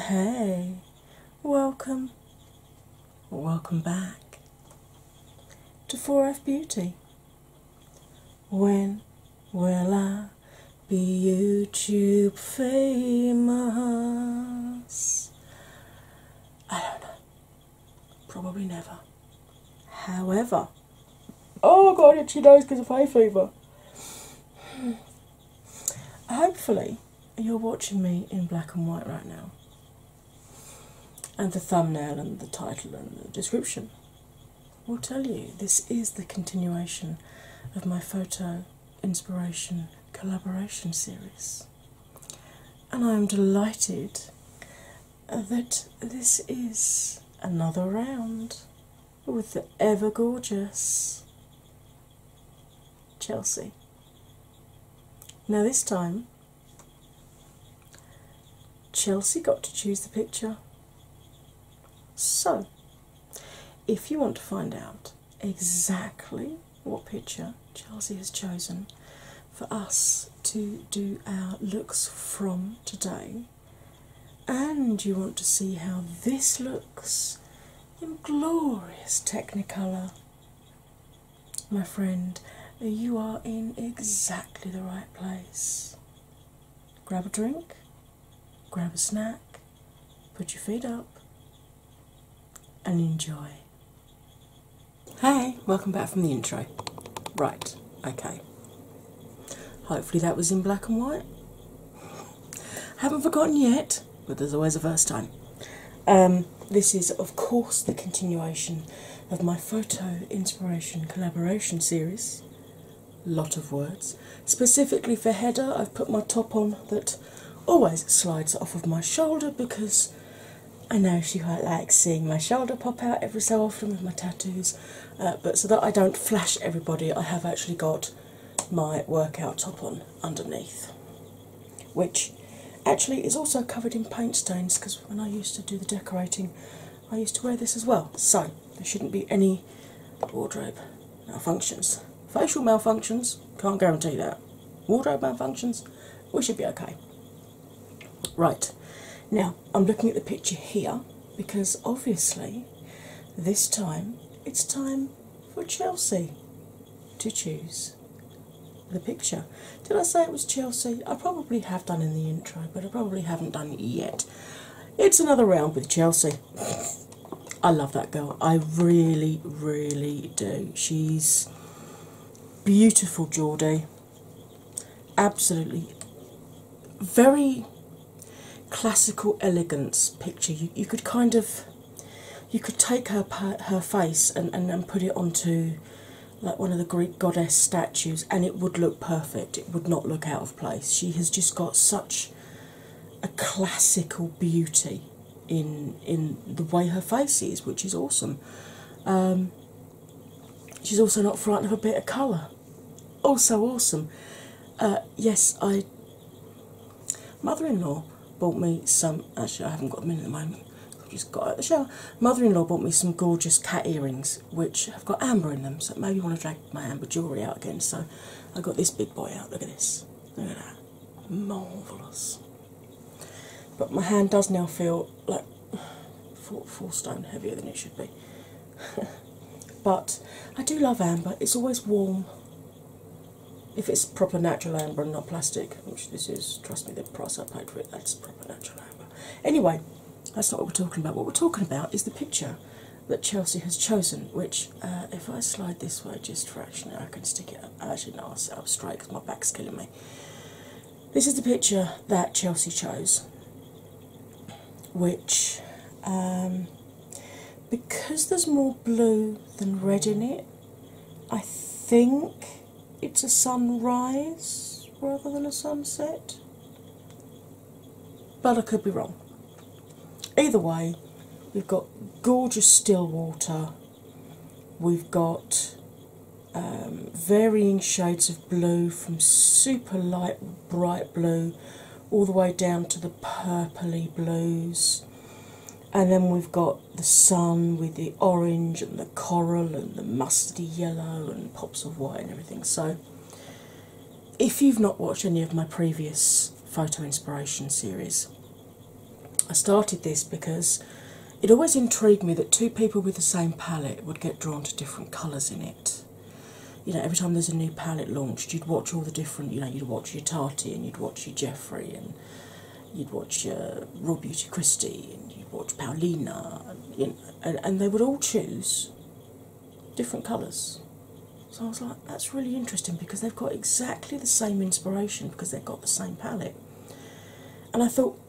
Hey, welcome, welcome back to 4F Beauty. When will I be YouTube famous? I don't know. Probably never. However, oh my god, itchy nose because of hay fever. Hopefully, you're watching me in black and white right now, and the thumbnail, and the title, and the description will tell you this is the continuation of my photo inspiration collaboration series. And I am delighted that this is another round with the ever gorgeous Chelsea. Now, this time Chelsea got to choose the picture. So, if you want to find out exactly what picture Chelsea has chosen for us to do our looks from today, and you want to see how this looks in glorious Technicolor, my friend, you are in exactly the right place grab a drink, grab a snack, put your feet up, and enjoy. Hey, welcome back from the intro. Right, okay. Hopefully that was in black and white. Haven't forgotten yet, but there's always a first time. Um, this is, of course, the continuation of my photo inspiration collaboration series lot of words. Specifically for header, I've put my top on that always slides off of my shoulder because I know she quite likes seeing my shoulder pop out every so often with my tattoos. Uh, but so that I don't flash everybody, I have actually got my workout top on underneath, which actually is also covered in paint stains because when I used to do the decorating, I used to wear this as well. So there shouldn't be any wardrobe malfunctions. Facial malfunctions, can't guarantee that. Wardrobe malfunctions, we should be okay. Right, now I'm looking at the picture here because obviously this time it's time for Chelsea to choose the picture. Did I say it was Chelsea? I probably have done in the intro, but I probably haven't done it yet. It's another round with Chelsea. I love that girl. I really, really do. She's beautiful, Jordy. Absolutely. Very classical elegance picture. You, could kind of. You could take her her face and, and put it onto like one of the Greek goddess statues, and it would look perfect. It would not look out place. She has just got such a classical beauty in in the way her face is, which is awesome. Um, she's also not frightened of a bit of colour. Also awesome. Uh, yes, I. Mother-in-law bought me some. Actually, I haven't got them in at the moment. I've just got out the shower. Mother-in-law bought me some gorgeous cat earrings, which have got amber in them, so maybe you want to my amber jewellery out again, so I got this big boy out. Look at this. Look at that. Marvellous. But my hand does now feel like four, stone heavier than it should be. but I do love amber, it's always warm. If it's proper natural amber and not plastic, which this is, trust me, the pros are paid for it, that's proper natural amber. Anyway, that's not what we're talking about. What we're talking about is the picture that Chelsea has chosen, which, uh, if I slide this way just fractionally, I can stick it up. Actually, no, I'll straight because my back's killing me. This is the picture that Chelsea chose, which, um, because there's more blue than red in it, I think it's a sunrise rather than a sunset but I could be wrong. Either way, we've got gorgeous still water, we've got um, varying shades of blue from super light, bright blue all the way down to the purpley blues. And then we've got the sun with the orange and the coral and the mustardy yellow and pops of white and everything. So if you've not watched any of my previous photo inspiration series, I started this because it always intrigued me that two people with the same palette would get drawn to different colours in it. You know, every time there's a new palette launched, you'd watch all the different, you know, you'd watch your Tati and you'd watch your Jeffrey and you'd watch your Raw Beauty Christie and you'd watch Paulina and, and they would all choose different colours. So I was like, that's really interesting because they've got exactly the same inspiration because they've got the same palette. And I thought,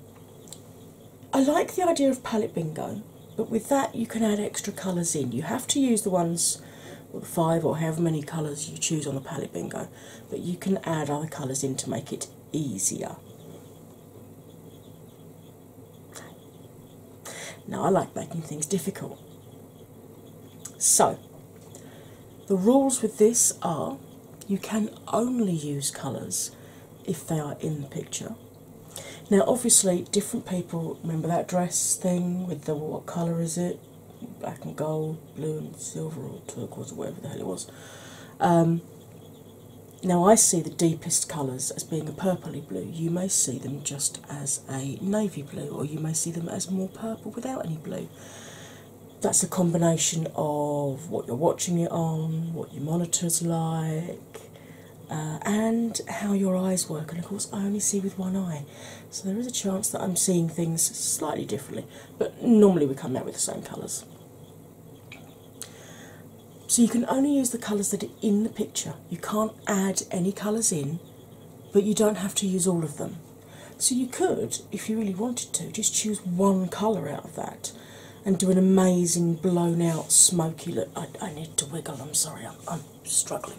I like the idea of palette bingo, but with that you can add extra colours in. You have to use the ones, well, five or however many colours you choose on the palette bingo, but you can add other colours in to make it easier. Now, I like making things difficult. So, the rules with this are you can only use colours if they are in the picture. Now, obviously, different people remember that dress thing with the what colour is it? Black and gold, blue and silver, or turquoise, or whatever the hell it was. Um, now, I see the deepest colours as being a purpley blue. You may see them just as a navy blue, or you may see them as more purple without any blue. That's a combination of what you're watching it on, what your monitor's like, uh, and how your eyes work. And of course, I only see with one eye, so there is a chance that I'm seeing things slightly differently, but normally we come out with the same colours. So you can only use the colours that are in the picture. You can't add any colours in but you don't have to use all of them. So you could, if you really wanted to, just choose one colour out of that and do an amazing blown out smoky look. I, need to wiggle, I'm sorry, I'm, struggling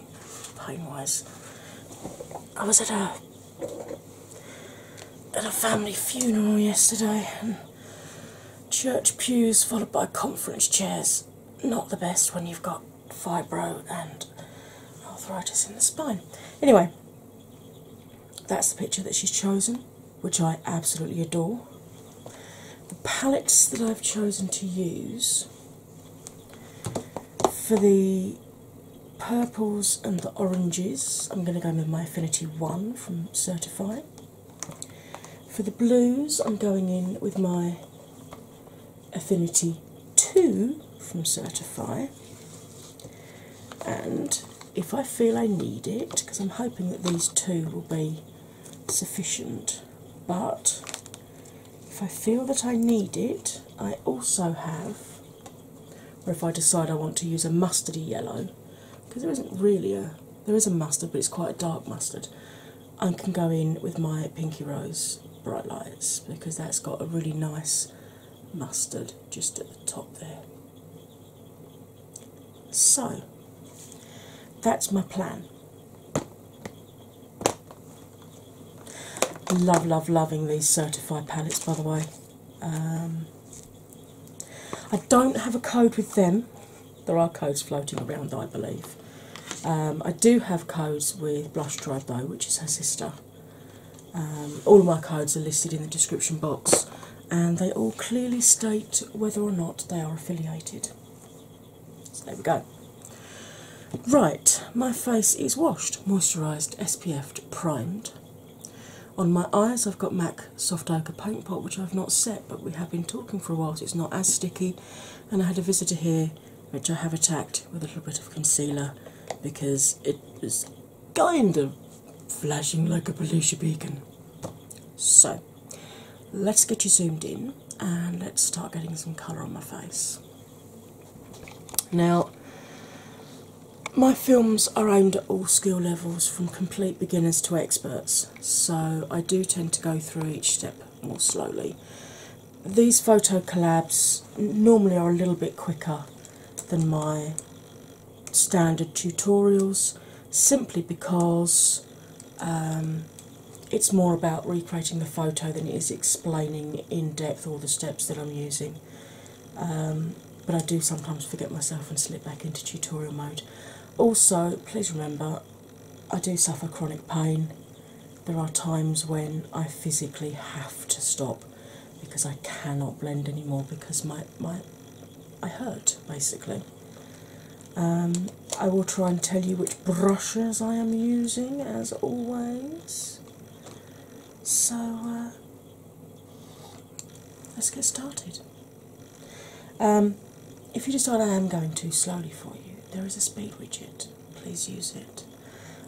pain wise. I was at a at a family funeral yesterday and church pews followed by conference chairs. Not the best one you've got fibro and arthritis in the spine. Anyway, that's the picture that she's chosen, which I absolutely adore. The palettes that I've chosen to use for the purples and the oranges, I'm going to go with my Affinity 1 from Certify. For the blues, I'm going in with my Affinity 2 from Certify. And if I feel I need it, because I'm hoping that these two will be sufficient, but if I feel that I need it, I also have, or if I decide I want to use a mustardy yellow, because there isn't really a there is a mustard, but it's quite a dark mustard. I can go in with my Pinky Rose bright lights because that's got a really nice mustard just at the top there. So that's my plan. Love, love, loving these certified palettes by the way. Um, I don't have a code with them. There are codes floating around, I believe. Um, I do have codes with Blush Tribe though, which is her sister. Um, all of my codes are listed in the description box and they all clearly state whether or not they are affiliated. So there we go. Right, my face is washed, moisturised, SPF'd, primed. On my eyes, I've got MAC Soft Ochre Paint Pot, which I've not set, but we have been talking for a while, so it's not as sticky. And I had a visitor here which I have attacked with a little bit of concealer because it is kind of flashing like a pollution beacon. So, let's get you zoomed in and let's start getting some colour on my face. Now, my films are aimed at all skill levels from complete beginners to experts, so I do tend to go through each step more slowly these photo collabs normally are a little bit quicker than my standard tutorials simply because um, it's more about recreating the photo than it is explaining in depth all the steps that I'm using. Um, but I do sometimes forget myself and slip back into tutorial mode. Also, please remember I do suffer chronic pain there are times when I physically have to stop because I cannot blend anymore because my my I hurt basically. Um, I will try and tell you which brushes I am using as always. So uh, let's get started. Um, if you decide I am going too slowly for you, there is a speed widget. Please use it.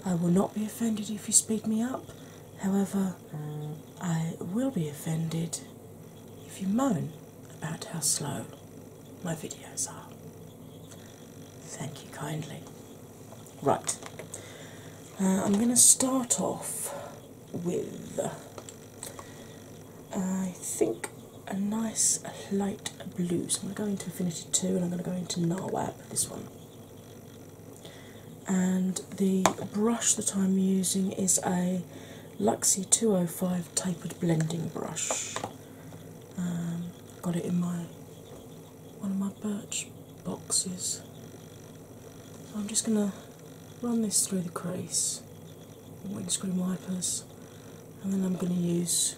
I will not be offended if you speed me up, however, I will be offended if you moan about how slow my videos are. Thank you kindly. Right, uh, I'm going to start off with, I think, a nice light and blue. So I'm going to go into Affinity 2 and I'm going to go into Narwab, this one. And the brush that I'm using is a Luxie 205 tapered blending brush. Um, got it in my one of my birch boxes. I'm just going to run this through the crease, windscreen wipers, and then I'm going to use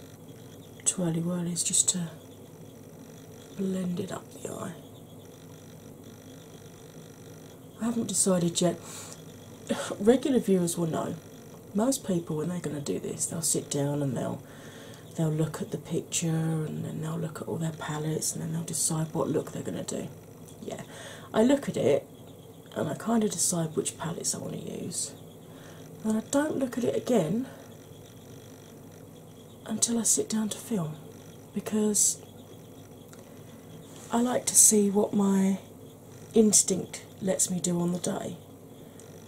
twirly whirlies just to blend it up the eye. I haven't decided yet. Regular viewers will know. Most people, when they're going to do this, they'll sit down and they'll they'll look at the picture and then they'll look at all their palettes and then they'll decide what look they're going to do. Yeah, I look at it and I kind of decide which palettes I want to use. And I don't look at it again until I sit down to film because I like to see what my instinct lets me do on the day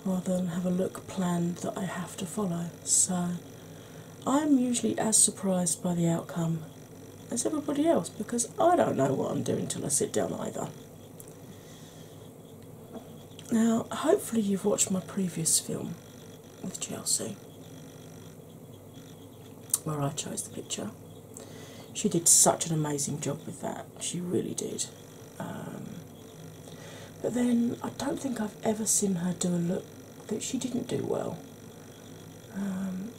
rather than have a look planned that I have to follow. So I'm usually as surprised by the outcome as everybody else because I don't know what I'm doing till I sit down either. Now, hopefully, you've watched my previous film with Chelsea, where I chose the picture. She did such an amazing job with that, she really did. Um, but then, I don't think I've ever seen her do a look that she didn't do well. Um,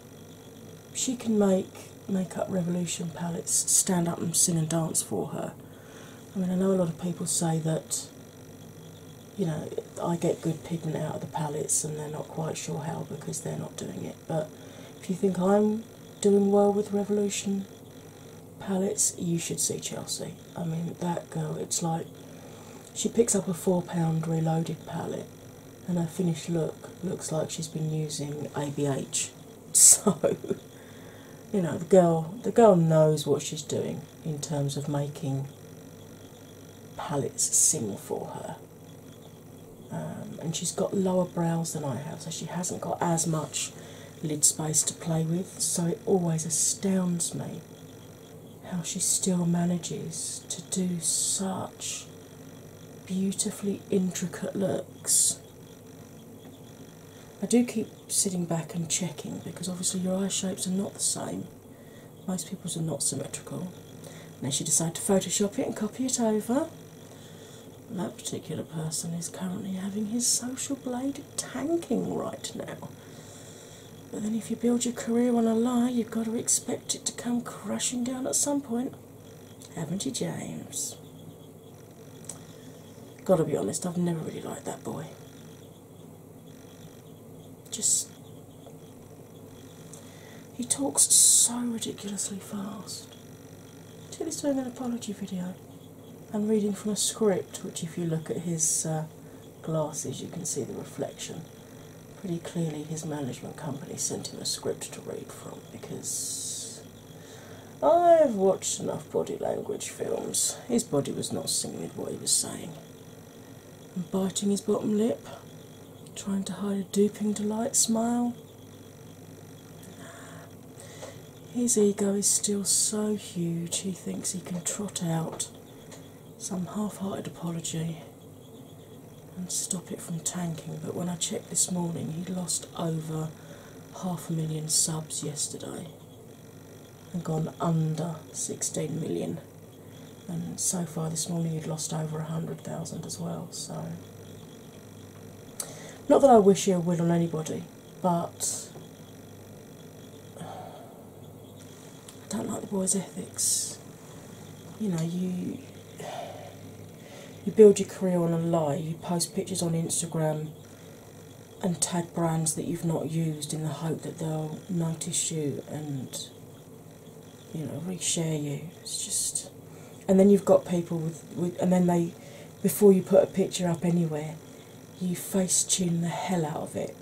she can make Makeup Revolution palettes stand up and sing and dance for her. I mean, I know a lot of people say that you know I get good pigment out of the palettes and they're not quite sure how because they're not doing it, but if you think I'm doing well with Revolution palettes, you should see Chelsea. I mean, that girl, it's like she picks up a £4 reloaded palette and her finished look looks like she's been using ABH. So you know the girl the girl knows what she's doing in terms of making palettes sing for her um, and she's got lower brows than i have so she hasn't got as much lid space to play with so it always astounds me how she still manages to do such beautifully intricate looks I do keep sitting back and checking because obviously your eye shapes are not the same. Most people's are not symmetrical. Unless she decided to Photoshop it and copy it over. That particular person is currently having his social blade tanking right now. But then, if you build your career on a lie, you've got to expect it to come crashing down at some point, haven't you, James? Gotta be honest, I've never really liked that boy. Just. He talks so ridiculously fast. Till he's doing an apology video and reading from a script, which, if you look at his uh, glasses, you can see the reflection. Pretty clearly, his management company sent him a script to read from because I've watched enough body language films. His body was not singing what he was saying. biting his bottom lip, trying to hide a duping delight smile. His ego is still so huge he thinks he can trot out some half hearted apology and stop it from tanking. But when I checked this morning, he lost over half a million subs yesterday and gone under 16 million. And so far this morning, you'd lost over 100,000 as well. So, not that I wish you a will on anybody, but I don't like the boy's ethics. You know, you. You build your career on a lie. You post pictures on Instagram and tag brands that you've not used in the hope that they'll notice you and you know reshare you it's just and then you've got people with, with and then they before you put a picture up anywhere you face tune the hell out of it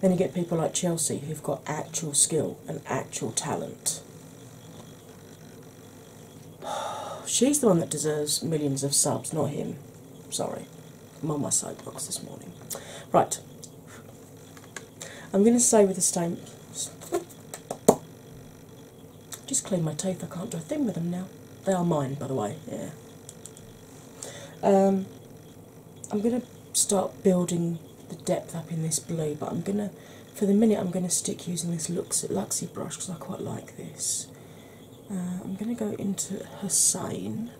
then you get people like chelsea who've got actual skill and actual talent she's the one that deserves millions of subs not him Sorry, I'm on my side box this morning. Right, I'm going to say with a stain. Just clean my teeth. I can't do a thing with them now. They are mine, by the way. Yeah. Um, I'm going to start building the depth up in this blue, but I'm going to, for the minute, I'm going to stick using this Luxy brush because I quite like this. Uh, I'm going to go into Hussein,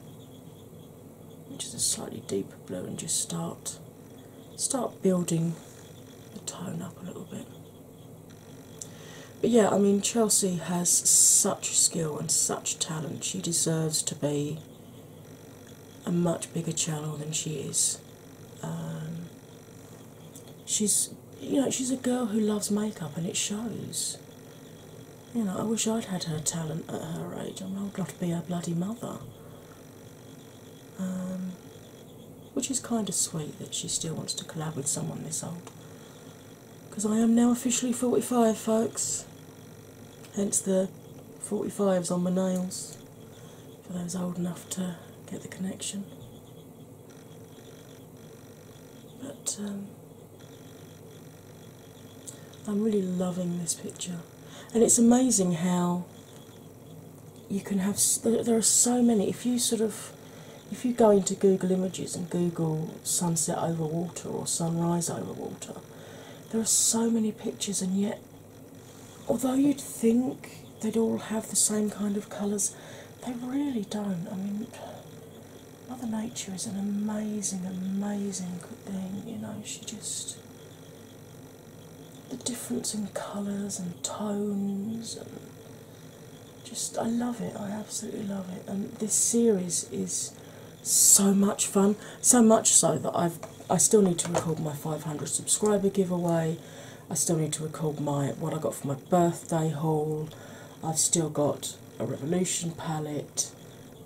which is a slightly deeper blue, and just start start building the tone up a little bit. But yeah, I mean Chelsea has such skill and such talent. She deserves to be a much bigger channel than she is. Um, she's you know, she's a girl who loves makeup and it shows. You know, I wish I'd had her talent at her age. I mean, I've to be her bloody mother. Um, which is kind of sweet that she still wants to collab with someone this old. Because I am now officially 45, folks. Hence the 45s on my nails for those old enough to get the connection. But um, I'm really loving this picture, and it's amazing how you can have. There are so many. If you sort of, if you go into Google Images and Google sunset over water or sunrise over water, there are so many pictures, and yet, although you'd think they'd all have the same kind of colours, they really don't. I mean, Mother Nature is an amazing, amazing thing, you know, she just the difference in colours and tones and just I love it, I absolutely love it. And this series is so much fun, so much so that I've I still need to record my 500 subscriber giveaway. I still need to record my what I got for my birthday haul. I've still got a Revolution palette,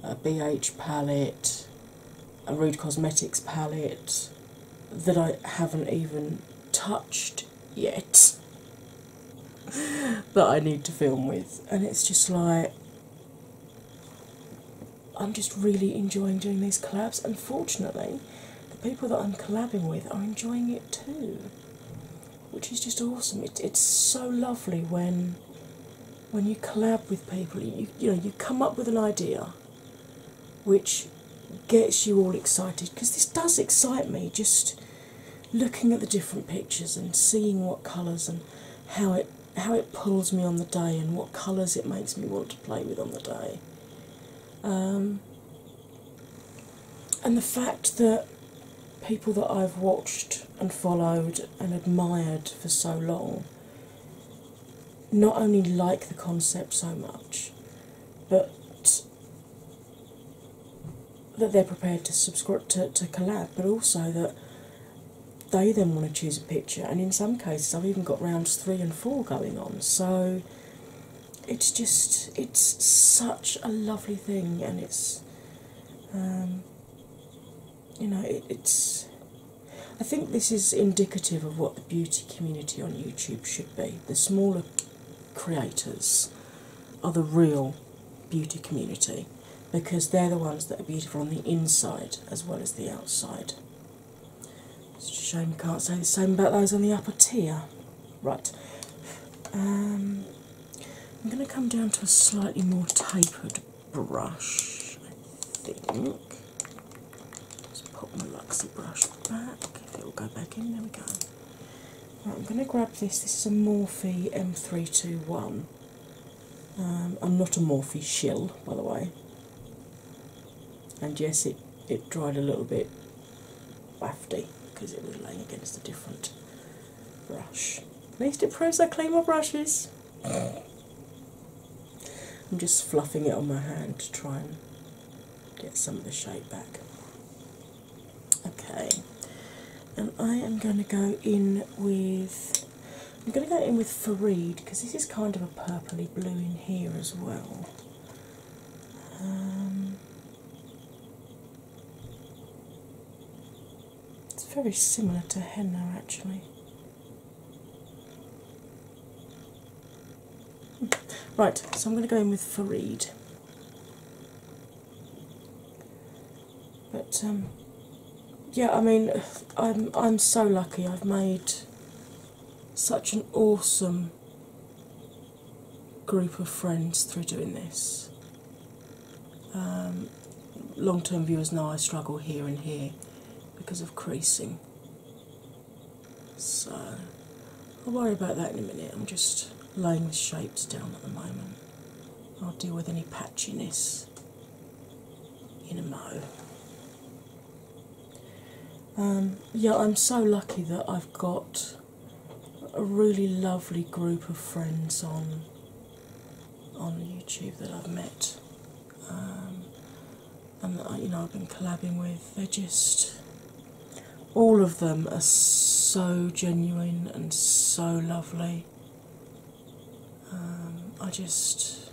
a BH palette, a Rude Cosmetics palette that I haven't even touched yet that I need to film with, and it's just like I'm just really enjoying doing these collabs. Unfortunately, the people that I'm collabing with are enjoying it too which is just awesome. It, it's so lovely when when you collab with people. You you know you come up with an idea, which gets you all excited because this does excite me. Just looking at the different pictures and seeing what colours and how it how it pulls me on the day and what colours it makes me want to play with on the day. Um, and the fact that people that I've watched and followed and admired for so long not only like the concept so much, but that they're prepared to subscribe to, to collab, but also that they then want to choose a picture, and in some cases, I've even got rounds three and four going on. So it's just it's such a lovely thing, and it's um, you know, it's. I think this is indicative of what the beauty community on YouTube should be. The smaller creators are the real beauty community because they're the ones that are beautiful on the inside as well as the outside. It's a shame you can't say the same about those on the upper tier. Right. Um, I'm going to come down to a slightly more tapered brush, I think. Just pop my Luxie brush back, it will go back in, there we go. I'm going to grab this, this is a Morphe M321. Um, I'm not a Morphe shell, by the way. And yes, it, it dried a little bit wafty because it was laying against a different brush. Please do pros I clean my brushes. I'm just fluffing it on my hand to try and get some of the shape back. Okay, and I am going to go in with I'm going to go in with Fareed because this is kind of a purpley blue in here as well. Um, it's very similar to henna actually. Right, so I'm going to go in with Farid. But um, yeah, I mean, I'm I'm so lucky. I've made such an awesome group of friends through doing this. Um, Long term viewers know I struggle here and here because of creasing. So I'll worry about that in a minute. I'm just laying the shapes down at the moment. I'll deal with any patchiness in a mo. Um, yeah, I'm so lucky that I've got a really lovely group of friends on on YouTube that I've met, um, and uh, you know I've been collabing with. They're just all of them are so genuine and so lovely. Um, I just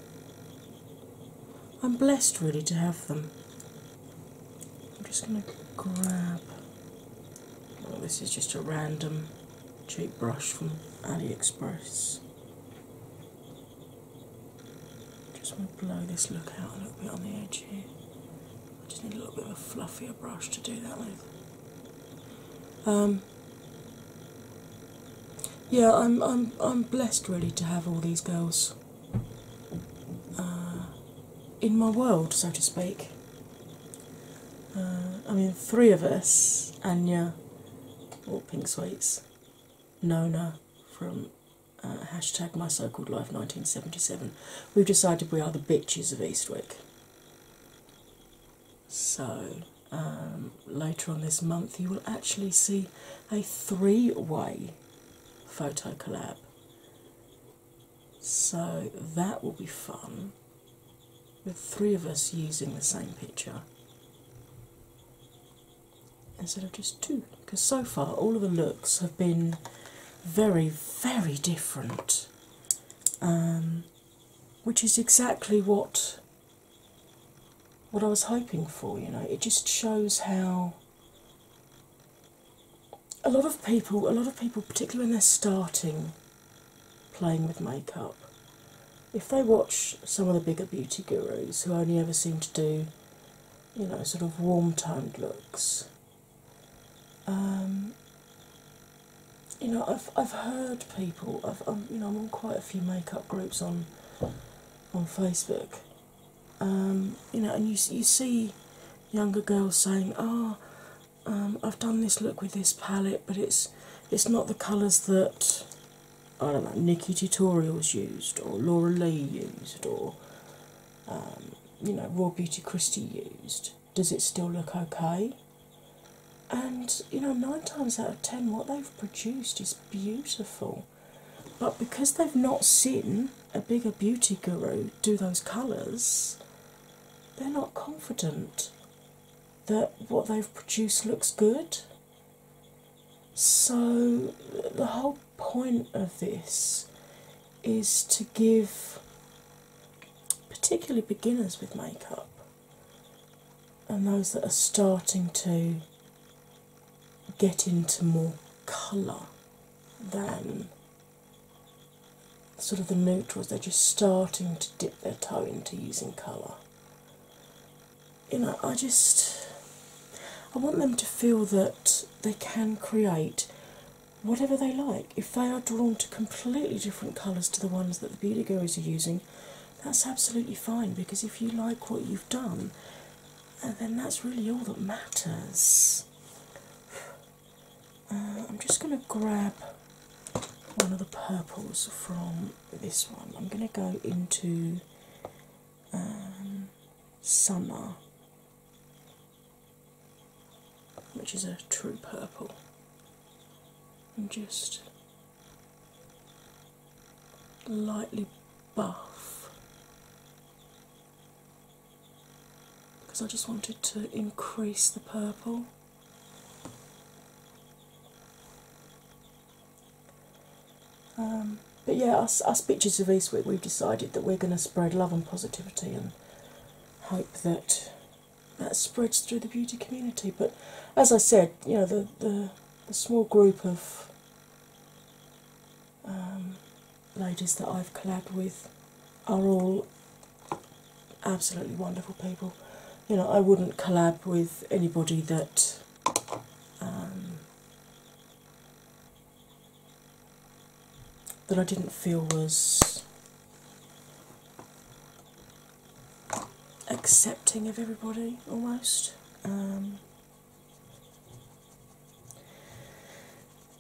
I'm blessed really to have them. I'm just going to grab. Oh, this is just a random cheap brush from AliExpress. Just want to blow this look out a little bit on the edge here. I just need a little bit of a fluffier brush to do that with. Um, yeah, I'm I'm I'm blessed really to have all these girls uh, in my world, so to speak. Uh, I mean, three of us, Anya, or Pink Sweets, Nona from uh, hashtag My Called Life 1977, we've decided we are the bitches of Eastwick. So, um, later on this month, you will actually see a three way photo collab. So, that will be fun with three of us using the same picture instead of just two. Because so far, all of the looks have been very, very different, um, which is exactly what what I was hoping for. You know, it just shows how a lot of people, a lot of people, particularly when they're starting playing with makeup, if they watch some of the bigger beauty gurus who only ever seem to do, you know, sort of warm toned looks, um, you know, I've I've heard people. I've um, you know I'm on quite a few makeup groups on on Facebook. Um, you know, and you you see younger girls saying, "Oh, um, I've done this look with this palette, but it's it's not the colours that I don't know Nikki Tutorials used or Laura Lee used or um, you know Raw Beauty Christie used. Does it still look okay? And you know, nine times out of ten, what they've produced is beautiful. But because they've not seen a bigger beauty guru do those colours, they're not confident that what they've produced looks good. So, the whole point of this is to give, particularly beginners with makeup and those that are starting to get into more colour than sort of the neutrals, they're just starting to dip dip their toe into using colour. You know, I just I want them to feel that they can create whatever they like. If they are drawn to completely different colours to the ones that the beauty gurus are using, that's absolutely fine because if you like what you've done, uh, then that's really all that matters. Uh, I'm just going to grab one of the purples from this one. I'm going to go into um, Summer, which is a true purple, and just lightly buff because I just wanted to increase the purple. Um, but yeah, us, pictures of Eastwick, we've decided that we're going to spread love and positivity and hope that that spreads through the beauty community. But as I said, you know, the, the, small group of um, ladies that I've collabed with are all absolutely wonderful people. You know, I wouldn't collab with anybody that um, that I didn't feel was accepting of everybody almost. Um,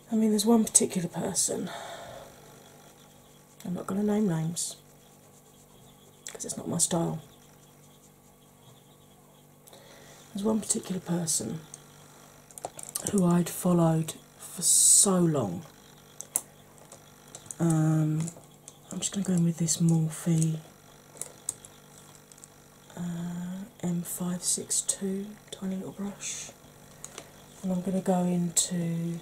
I mean, there's one particular person I'm not going to name names because it's not my style. There's one particular person who I'd followed for so long. Um, I'm just going to go in with this Morphe uh, M562 tiny little brush, and I'm going to go into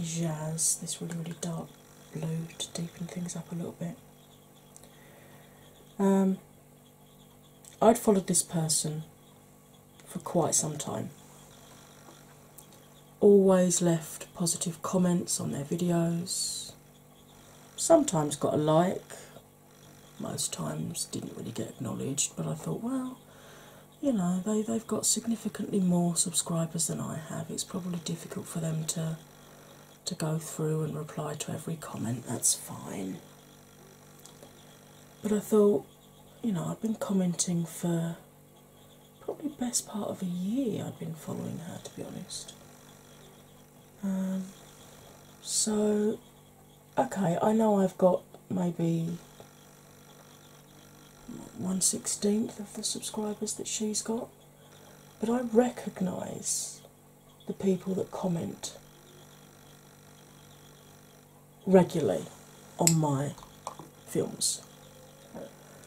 Jazz, this really, really dark blue to deepen things up a little bit. Um, I'd followed this person for quite some time. Always left positive comments on their videos. Sometimes got a like, most times didn't really get acknowledged, but I thought, well, you know, they, they've got significantly more subscribers than I have it's probably difficult for them to to go through and reply to every comment. That's fine. But I thought, you know, I've been commenting for probably best part of a year. I've been following her, to be honest. Um, so, okay, I know I've got maybe one sixteenth of the subscribers that she's got, but I recognise the people that comment regularly on my films.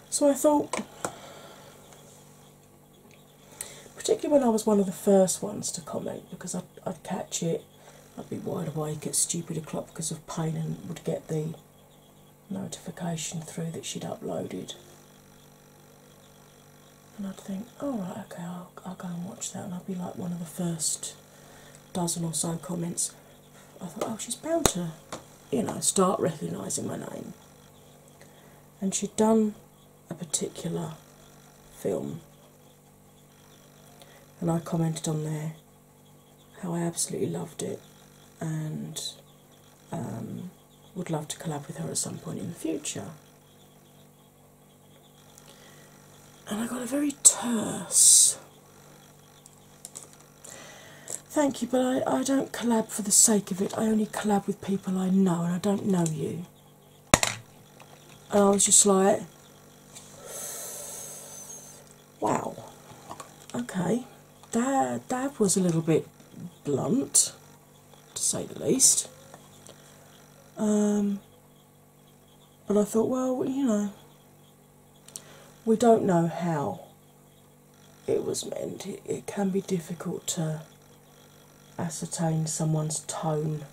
So I thought, particularly when I was one of the first ones to comment, because I'd, I'd catch it, I'd be wide awake at stupid o'clock because of pain and would get the notification through that she'd uploaded. And I'd think, "All oh, right, okay, I'll, I'll go and watch that, and I'll be like one of the first dozen or so comments. I thought, oh, she's bound to, you know, start recognising my name. And she'd done a particular film, and I commented on there how I absolutely loved it, and um, would love to collab with her at some point in the future. And I got a very terse. Thank you, but I, I don't collab for the sake of it. I only collab with people I know, and I don't know you. And I was just like, wow, okay that that was a little bit blunt, to say the least. Um, but I thought, well, you know, we don't know how it was meant. it can be difficult to ascertain someone's tone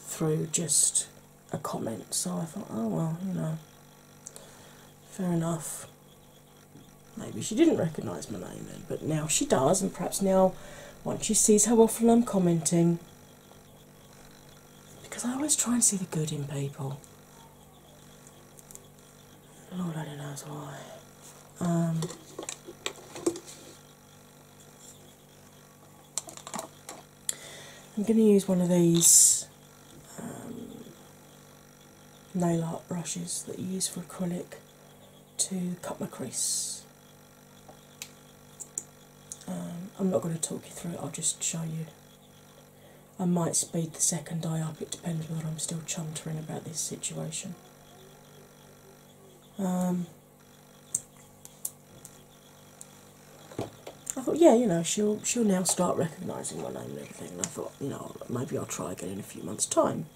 through just a comment. So I thought, oh well, you know, fair enough. Maybe she didn't recognise my name then, but now she does, and perhaps now, once she sees how often I'm commenting, because I always try and see the good in people. Lord I do only knows why. Um, I'm going to use one of these um, nail art brushes that you use for acrylic to cut my crease. Um, I'm not going to talk you through it, I'll just show you. I might speed the second eye up, it depends whether I'm still chuntering about this situation. Um, I thought, yeah, you know, she'll she'll now start recognising my name and everything. And I thought, you know, maybe I'll try getting a few months' time.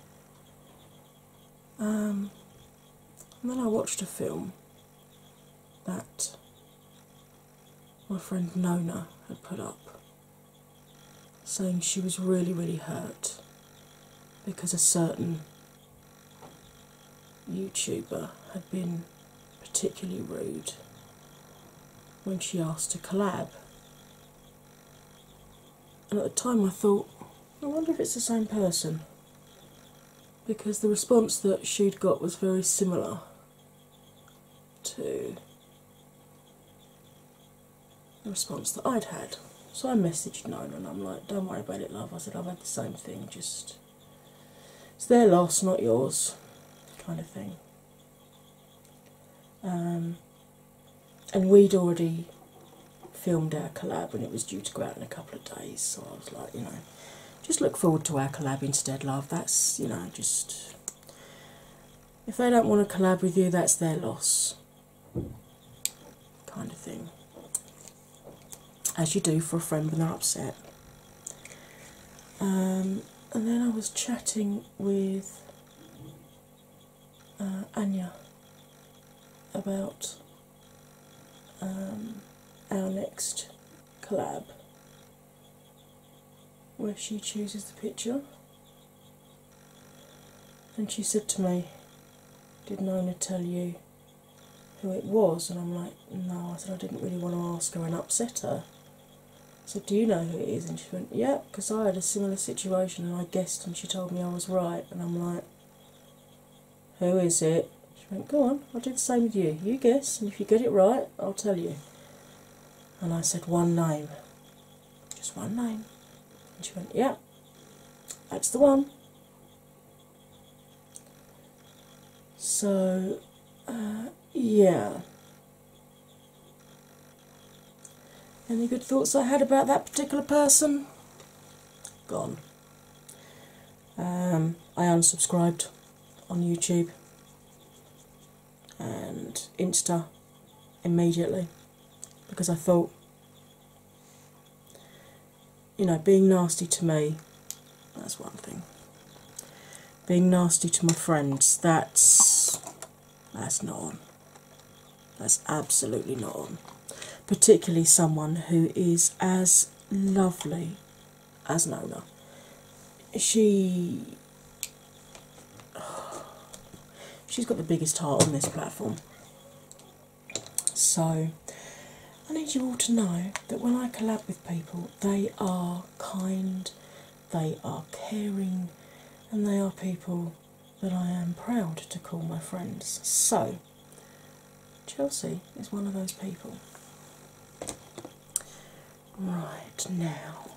Um, and then I watched a film that my friend Nona had put up saying she was really, really hurt because a certain YouTuber had been particularly rude when she asked to collab and at the time I thought, I wonder if it's the same person because the response that she'd got was very similar to the response that I'd had. So I messaged Nona and I'm like, don't worry about it, love. I said, I've had the same thing, just it's their loss, not yours, kind of thing. Um, and we'd already filmed our collab when it was due to go out in a couple of days, so I was like, you know, just look forward to our collab instead, love. That's, you know, just if they don't want to collab with you, that's their loss, kind of thing. As you do for a friend when they're upset. Um, and then I was chatting with uh, Anya about um, our next collab where she chooses the picture. And she said to me, Did not Nona tell you who it was? And I'm like, No, I said I didn't really want to ask her and upset her. So, do you know who it is? And she went, Yeah, because I had a similar situation and I guessed, and she told me I was right. And I'm like, Who is it? She went, Go on, I'll do the same with you. You guess, and if you get it right, I'll tell you. And I said, One name. Just one name. And she went, Yeah, that's the one. So, uh, yeah, any good thoughts I had about that particular person? Gone. Um, I unsubscribed on YouTube and Insta immediately because I thought, you know, being nasty to me, that's one thing. Being nasty to my friends, that's that's not on. That's absolutely not on. Particularly someone who is as lovely as Nola. She. She's got the biggest heart on this platform. So, I need you all to know that when I collab with people, they are kind, they are caring, and they are people that I am proud to call my friends. So, Chelsea is one of those people. Right now,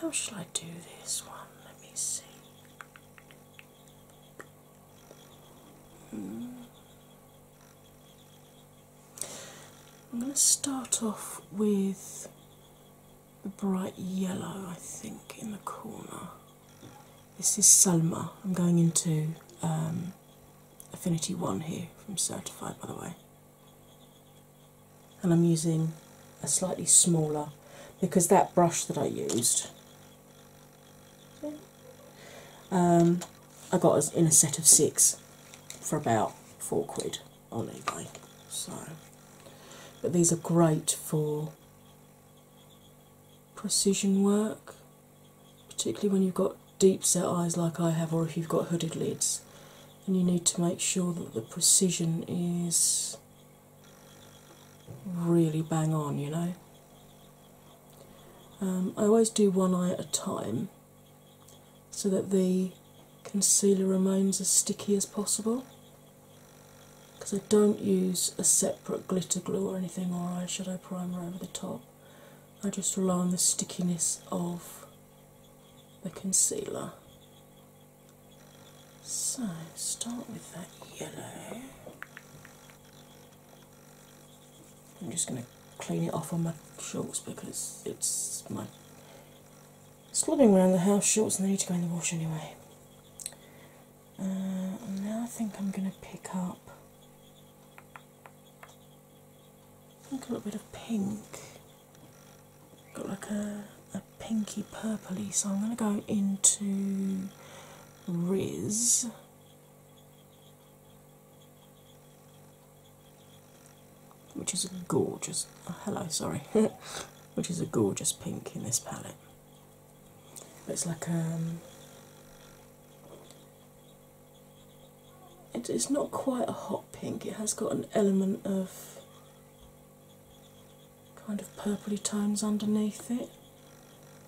how shall I do this one? Let me see. Hmm. I'm going to start off with the bright yellow, I think, in the corner. This is Sulma. I'm going into um, Affinity 1 here from Certified, by the way. And I'm using a slightly smaller because that brush that I used um, I got in a set of six for about four quid on eBay. So, but these are great for precision work, particularly when you've got deep set eyes like I have, or if you've got hooded lids, and you need to make sure that the precision is really bang on, you know. Um, I always do one eye at a time so that the concealer remains as sticky as possible because I don't use a separate glitter glue or anything or eyeshadow primer over the top. I just rely on the stickiness of the concealer. So, start with that yellow. I'm just going to clean it off on my shorts because it's my Sliding around the house shorts and they need to go in the wash anyway. Uh, now I think I'm going to pick up a little bit of pink. Got like a, a pinky purpley, so I'm going to go into Riz. Which is gorgeous. Oh, hello, sorry. which is a gorgeous pink in this palette. It's like um, it's not quite a hot pink. It has got an element of kind of purply tones underneath it.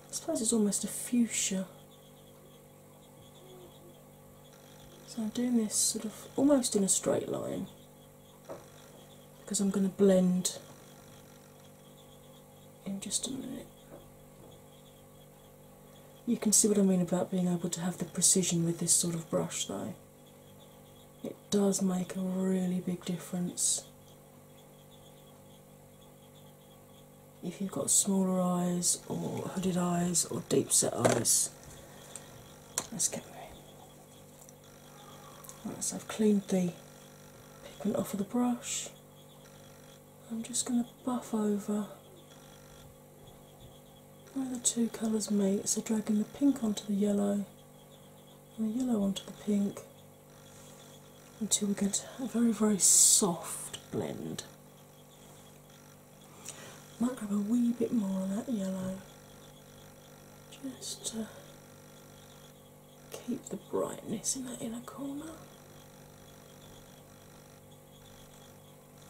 I suppose it's almost a fuchsia. So I'm doing this sort of almost in a straight line because I'm going to blend in just a minute. You can see what I mean about being able to have the precision with this sort of brush though. It does make a really big difference if you've got smaller eyes or hooded eyes or deep set eyes. Let's get me. Once I've cleaned the pigment off of the brush. I'm just going to buff over where the two colours meet, so dragging the pink onto the yellow and the yellow onto the pink until we get a very, very soft blend. Might grab a wee bit more of that yellow just to keep the brightness in that inner corner.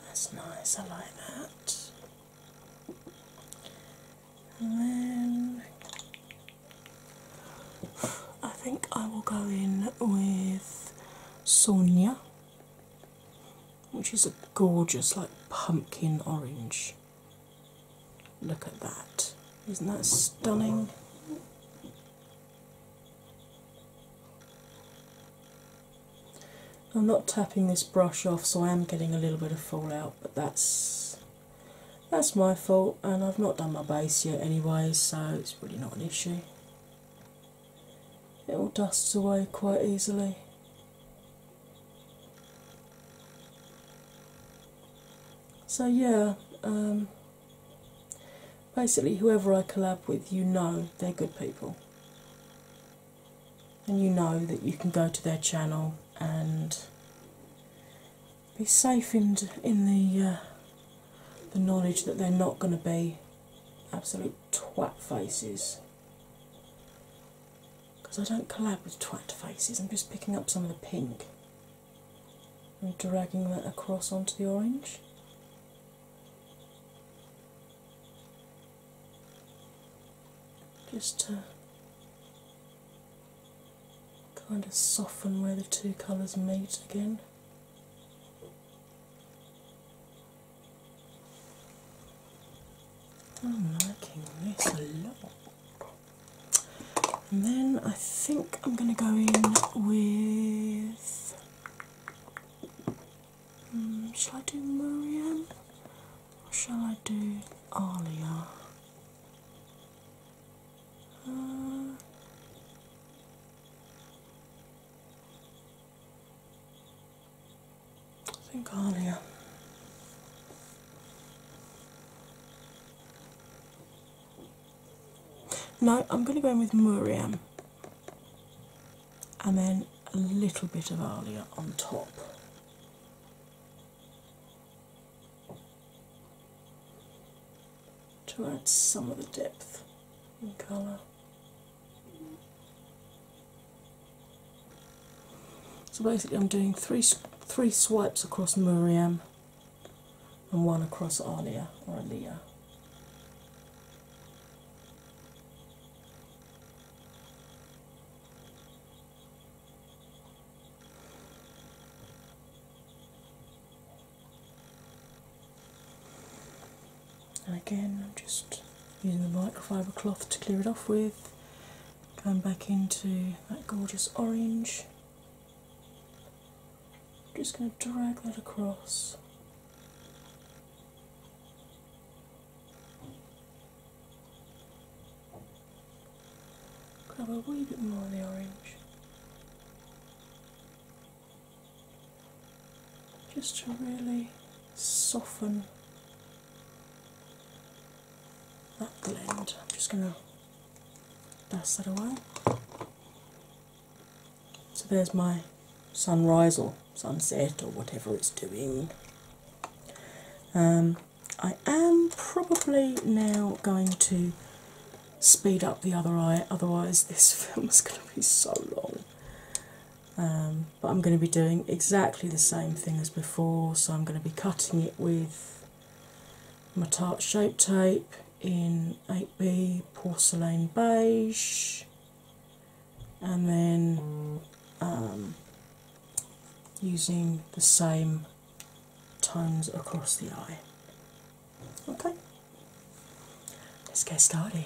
That's nice, I like that. And then I think I will go in with Sonia, which is a gorgeous, like pumpkin orange. Look at that. Isn't that stunning? I'm not tapping this brush off, so I am getting a little bit of fallout, but that's that's my fault, and I've not done my base yet anyway, so it's really not an issue. It all dusts away quite easily. So, yeah, um, basically, whoever I collab with, you know they're good people. And you know that you can go to their channel and be safe in, in the, uh, the knowledge that they're not going to be absolute twat faces because I don't collab with twat faces, I'm just picking up some of the pink and dragging that across onto the orange. Just to kind of soften where the two colours meet again. I'm liking this a lot. And then I think I'm going to go in with. Hmm, shall I do Marianne? or shall I do Alia? Uh, I think Alia. No, I'm going to go in with Murium, and then a little bit of Alia on top. To add some of the depth and colour. So basically, I'm doing three three swipes across Miriam and one across Alia or Alia. And again, I'm just using the microfiber cloth to clear it off with Going back into that gorgeous orange. Just going to drag that across. Grab a wee bit more of the orange. Just to really soften that blend. I'm just going to that's that away. So there's my sunrise or sunset or whatever it's doing. Um, I am probably now going to speed up the other eye, otherwise, this film is going to be so long. Um, but I'm going to be doing exactly the same thing as before, so I'm going to be cutting it with my tart shape tape in 8b porcelain beige and then um, using the same tones across the eye. Okay, let's get started.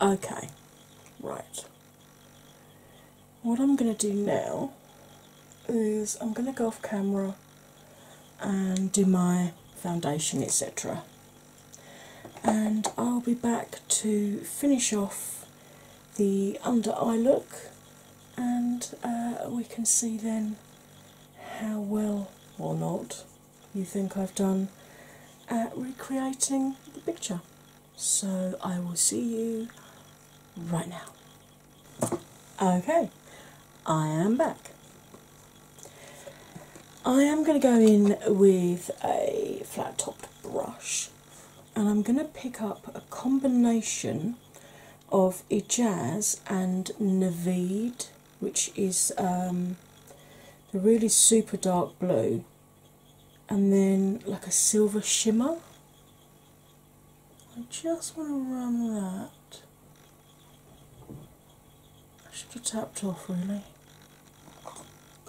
Okay, right. What I'm going to do now is I'm going to go off camera and do my foundation, etc. And I'll be back to finish off the under eye look, and uh, we can see then how well or not you think I've done at recreating the picture. So I will see you right now. Okay, I am back. I am going to go in with a flat topped brush and I'm going to pick up a combination of Ijaz and Navid, which is um, the really super dark blue, and then like a silver shimmer. I just want to run that I should have tapped off really.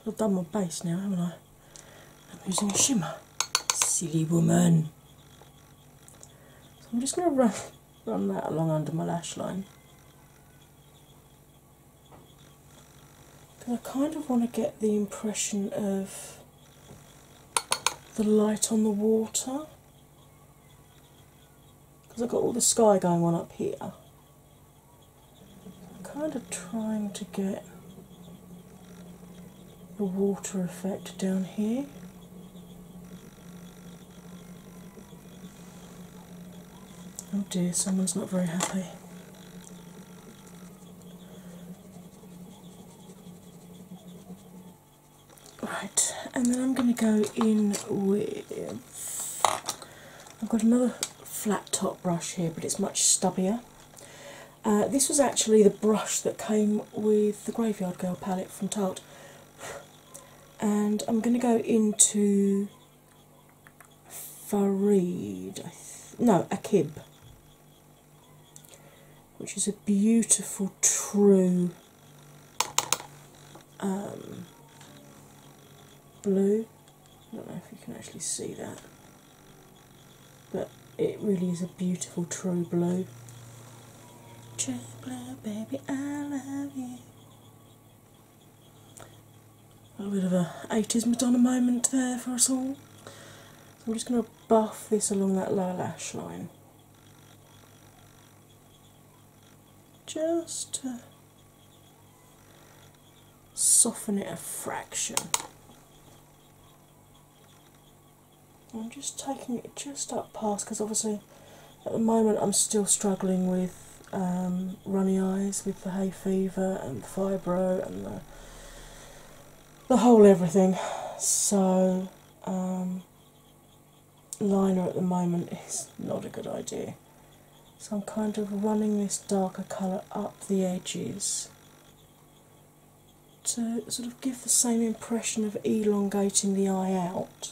I've done my base now, haven't I? I'm using shimmer. Silly woman. So I'm just going to run that along under my lash line. Because I kind of want to get the impression of the light on the water because I've got all the sky going on up here. I'm kind of trying to get the water effect down here. Oh dear, someone's not very happy. Right, and then I'm going to go in with I've got another flat top brush here, but it's much stubbier. Uh, this was actually the brush that came with the Graveyard Girl palette from Tarte, and I'm going to go into Farid, no, Akib, which is a beautiful, true um, blue. I don't know if you can actually see that, but it really is a beautiful true blue. True blue, baby, I love you. A little bit of a 80s Madonna moment there for us all. So I'm just going to buff this along that lower lash line just to soften it a fraction. I'm just taking it just up past because obviously at the moment I'm still struggling with um, runny eyes with the hay fever and the fibro and the, whole everything. So um, liner at the moment is not a good idea. So I'm kind of running this darker colour up the edges to sort of give the same impression of elongating the eye out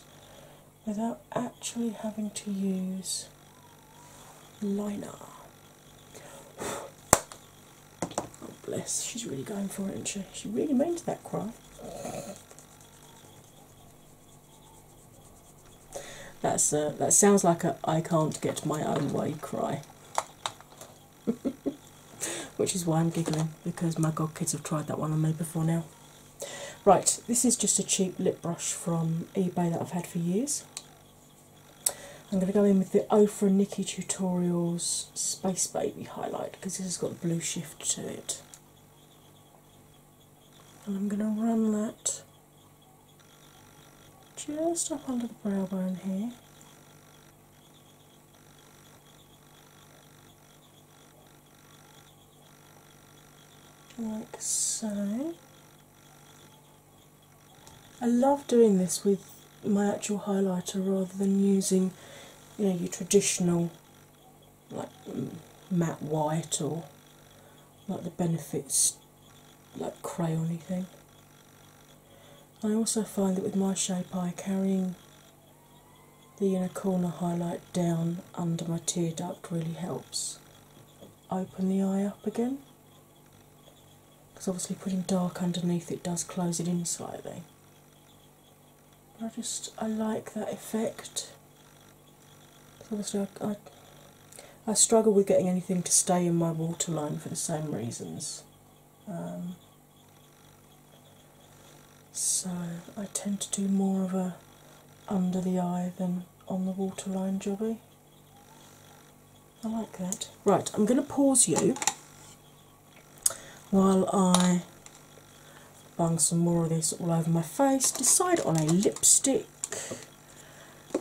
without actually having to use liner. oh bless, she's really going for it. she? really means that cry. That's uh, that sounds like a I can't get my own way cry. Which is why I'm giggling because my god kids have tried that one on me before now. Right, this is just a cheap lip brush from eBay that I've had for years. I'm going to go in with the Ofra Nikki Tutorials Space Baby highlight because this has got the blue shift to it and I'm going to run that just up under the brow bone here. Like so. I love doing this with my actual highlighter rather than using you know your traditional like mm, matte white or like the benefits like crayony thing. I also find that with my shape eye carrying the inner corner highlight down under my tear duct really helps open the eye up again. Because obviously putting dark underneath it does close it in slightly. I just I like that effect. Obviously, I, I, struggle with getting anything to stay in my waterline for the same reasons. Um, so I tend to do more of a under the eye than on the waterline jobby. I like that. Right, I'm going to pause you while I bung some more of this all over my face, decide on a lipstick.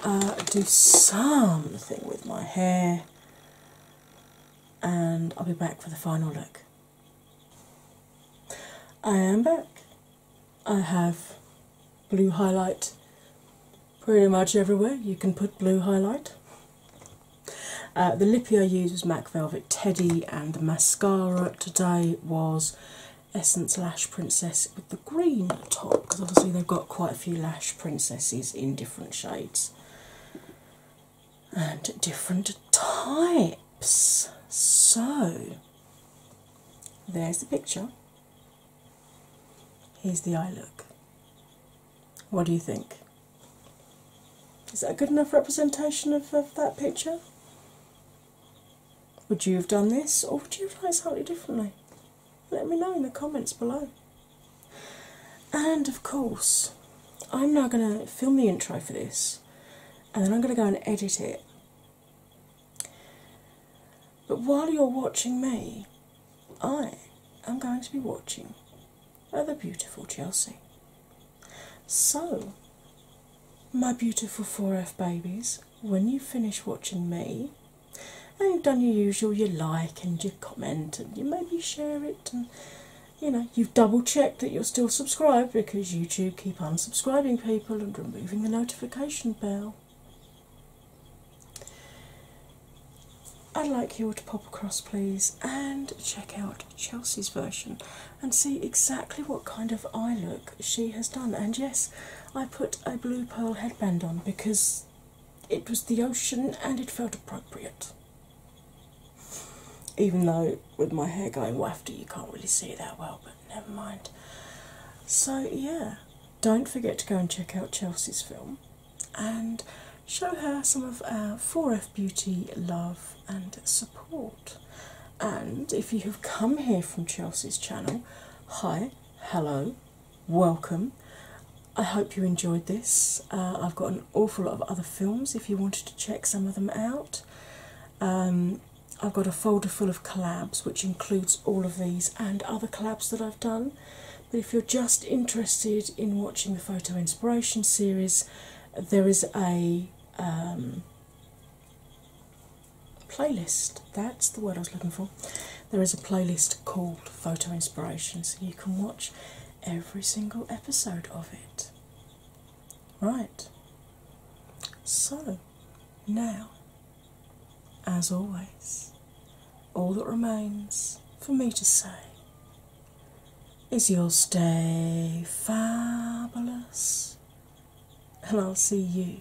Uh, do something with my hair, and I'll be back for the final look. I am back. I have blue highlight pretty much everywhere. You can put blue highlight. Uh, the lippy I used was MAC Velvet Teddy, and the mascara today was Essence Lash Princess with the green top because obviously they've got quite a few lash princesses in different shades and different types. So there's the picture. Here's the eye look. What do you think? Is that a good enough representation of, that picture? Would you have done this or would you have done it slightly differently? Let me know in the comments below. And of course, I'm now going to film the intro for this and then I'm going to go and edit it. But while you're watching me, I am going to be watching the beautiful Chelsea. So, my beautiful 4F babies, when you finish watching me and you've done your usual, you like and you comment and you maybe share it and you know you've double checked that you're still subscribed because YouTube keep unsubscribing people and removing the notification bell. I'd like you all to pop across, please, and check out Chelsea's version and see exactly what kind of eye look she has done. And yes, I put a blue pearl headband on because it was the ocean and it felt appropriate. Even though with my hair going wafty, you can't really see it that well, but never mind. So, yeah, don't forget to go and check out Chelsea's film and show her some of our 4F Beauty love and support. And if you have come here from Chelsea's channel, hi, hello, welcome. I hope you enjoyed this. Uh, I've got an awful lot of other films if you wanted to check some of them out. Um, I've got a folder full of collabs which includes all of these and other collabs that I've done. But if you're just interested in watching the Photo Inspiration series, there is a um, playlist. That's the word I was looking for. There is a playlist called Photo Inspiration, so you can watch every single episode of it. Right. So, now, as always, all that remains for me to say is you'll stay fabulous, and I'll see you